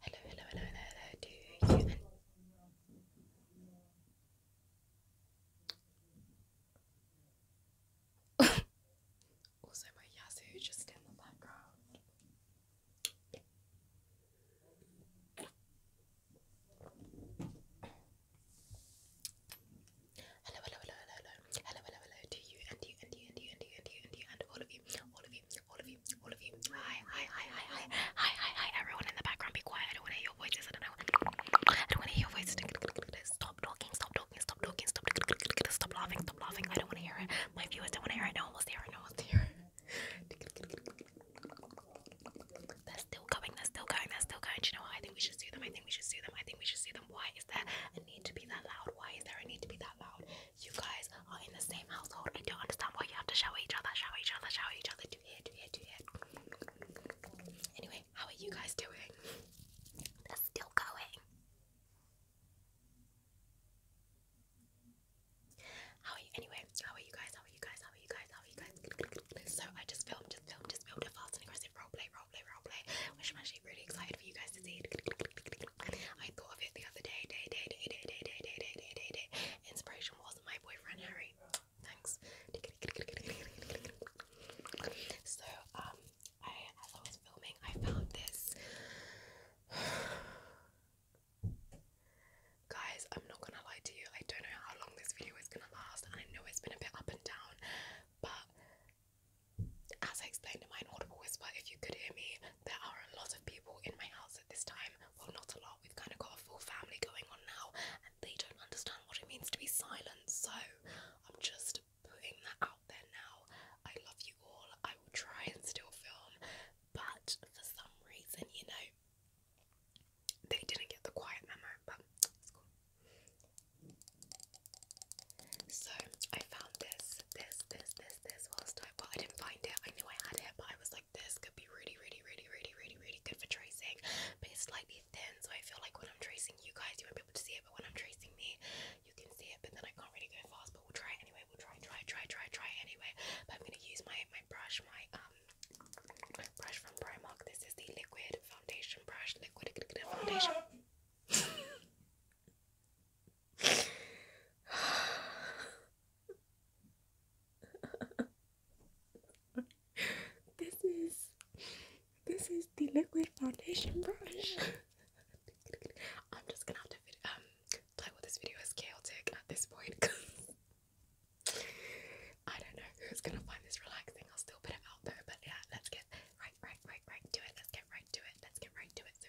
Hello, hello, hello, hello, hello to you and also my Yazoo just in the background. Hello, hello, hello, hello, hello, hello, hello, hello to you and you and you and you and you and you and you and all of you, all of you, all of you, all of you. Hi, hi, hi, hi, hi, hi, hi, hi. Everyone in the background, be quiet. I don't want to hear your voices. I don't know. I don't want to hear your voices. Stop talking. Stop talking. Stop talking. Stop. Stop laughing. Stop laughing. I don't want to hear it. My viewers don't want to hear it. No one wants to hear it. No one wants to hear it. They're still going. They're still going. They're still going. Do you know what? I think we should sue them. I think we should sue them. I think we should sue them. Why is there a need to be that loud? Why is there a need to be that loud? You guys are in the same household. I don't understand why you have to shower each other, shower each other, shower each other, do it, do it, do it. Anyway, how are you guys doing? They're still going. How are you? Anyway, how are you guys? How are you guys? How are you guys? How are you guys? So I just filmed, just filmed, just filmed a fast and aggressive roleplay, roleplay, roleplay, which I'm actually really excited for you guys to see. I thought of it the other day, day, day, day, day, day, day, day, day, day, day, day. Inspiration was my boyfriend Harry. Thanks. So, um, I I was filming, I found this. Guys, I'm not gonna lie to you. I don't know how long this video is gonna last, and I know it's been a bit up and down, but as I explained in my inaudible whisper, if you could hear me there are a lot of people in my house at this time. Well, not a lot. We've kind of got a full family going on now, and they don't understand what it means to be silent. So I'm just putting that out there now. I love you all. I will try and still film, but for some reason, you know, they didn't get the quiet memo. But it's cool. So I found this, this, this, this, this whilst well, I didn't find it. I knew I had it, but I was like, this could be really, really, really, really, really, really good for tracing. But it's slightly thin, so I feel like when I'm tracing you guys, you won't be able to see it. But when I'm tracing me, you can see it. But then I can't really go fast. But we'll try anyway. We'll try, try, try, try, try anyway. But I'm gonna use my my brush, my um brush from Primark. This is the liquid foundation brush. Liquid foundation. this is this is the liquid foundation brush. I'm just gonna have to um play with this video as chaotic at this point I don't know who's gonna find this relaxing. I'll still put it out though, but yeah, let's get right, right, right, right to it. Let's get right to it. Let's get right to it.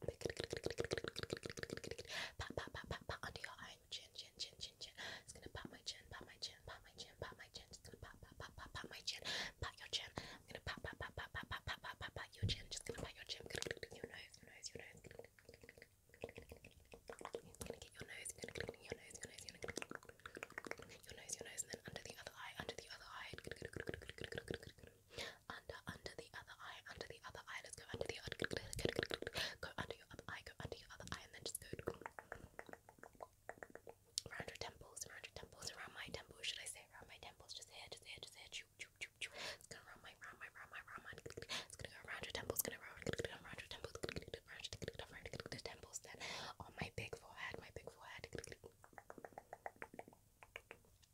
Pat, pat, pat, pat, pat under your eye, chin, chin, chin, chin, chin. It's gonna pat my chin, pat my chin, pat my chin, pat my chin. It's gonna pat, pat, pat, pat, pat my chin, pat your chin. I'm gonna pat, pat, pat, pat, pat, pat, pat, pat, pat, pat your chin. Just gonna pat your chin. Your nose, your nose, your nose. gonna get your nose, your nose, your nose, your nose, your nose, your nose, and then under the other eye, under the other eye. Under, under the other eye, under the other eye. Let's go under the other. Go under your other eye. Go under your other eye, and then just go around your temples, around your temples, around my temples. Should I say around my temples? Just here, just here, just here. It's gonna round my, round my, round my, round my. It's gonna go around your temples. gonna round, around your temples. Around your temples. Then on my big forehead, my big forehead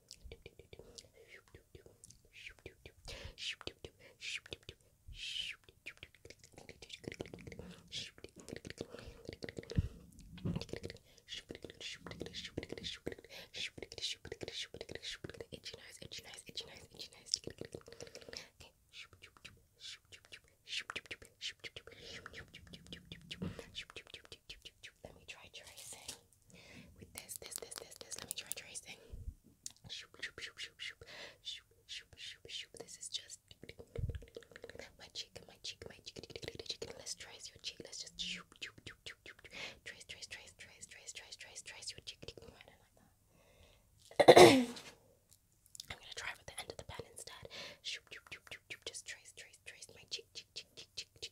Itchy nose, itchy nose, itchy nose, itchy nose. Okay. Let me try tracing with this, this, this, this, this. Let me try tracing. Shoop, shoop, shoop, shoop, shoop, shoop, shoop, shoop, shoop. This is just my cheek, my cheek, my cheek, Let's trace your cheek. Let's just shoop, shoop, shoop, shoop, shoop. Trace, trace, trace, trace, trace, trace, trace, trace your cheek. I don't like that. I'm gonna try with the end of the pen instead. Shoop, shoop, shoop, shoop, shoop. Just trace, trace, trace my cheek, cheek, cheek, cheek, cheek,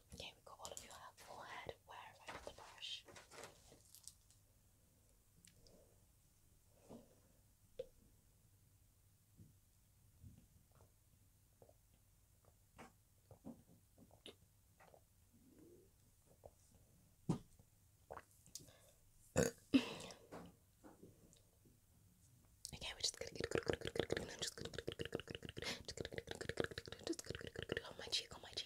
Okay, we've got all of your forehead. Where have I put the brush? Okay, we're just gonna just on my cheek, on my cheek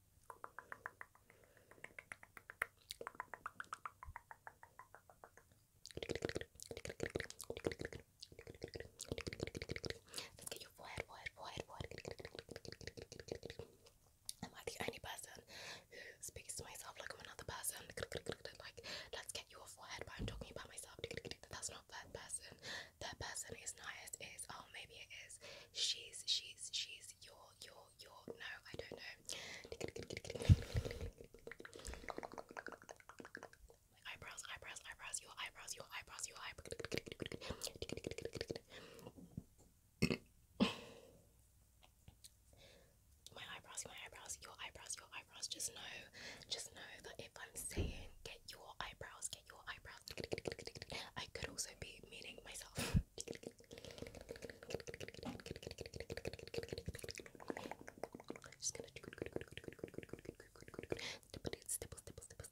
Let's get your forehead, forehead, forehead, forehead. Am I the only person who speaks to myself like I'm another person? Like, let's get your forehead, but I'm talking about myself. That's not third person. Third person is nice, is, oh, maybe it is she's she's she's your your your no I don't know eyebrows eyebrows eyebrows your eyebrows your eyebrows your eyebrows my eyebrows, my eyebrows, your eyebrows, your eyebrows. Just know, just know that if I'm saying get your eyebrows, get your eyebrows, I could also be meaning myself. I'm just gonna stipple, stipple, stipple,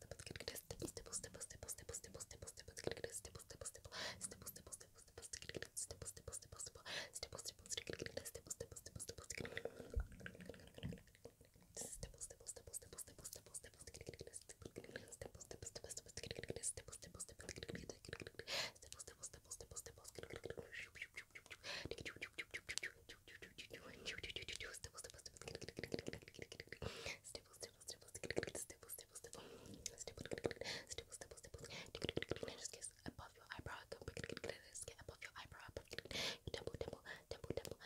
stipple, stipple, stipple, stipple, stipple, stipple, stipple, stipple, Above your eyebrow, above your eyebrow, temple, temple, temple,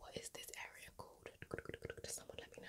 What is this area called? someone let me know?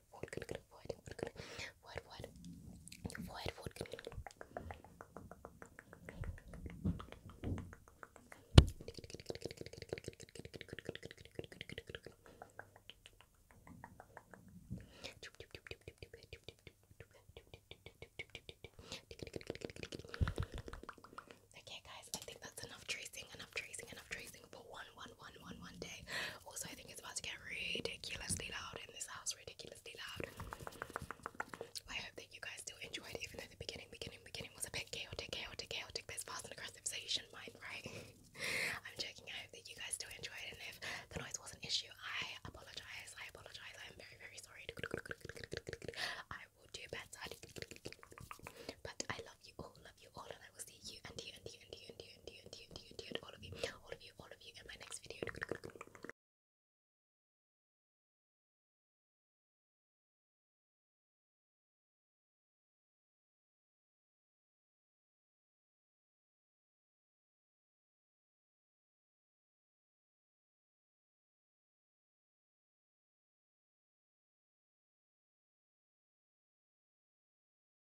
good, good, good, good, good, good, good, what, what, what, what, good, good, Okay, guys, I think that's enough tracing, enough tracing, enough tracing. But why one, one, one, one, one day. Also, I think it's about to get ridiculously loud in this house, ridiculously loud. I hope that you guys still enjoyed, even though the beginning, beginning, beginning was a bit chaotic, chaotic, chaotic. This fast and aggressive, so mind, right? I'm joking. I hope that you guys still enjoyed, and if the noise was an issue, I apologize. I apologize. I'm very, very sorry. I will do better. But I love you all. Love you all, and I will sexy, you and you and you and you and you and you and you and you and you all of you, all of you, all of you in my next video.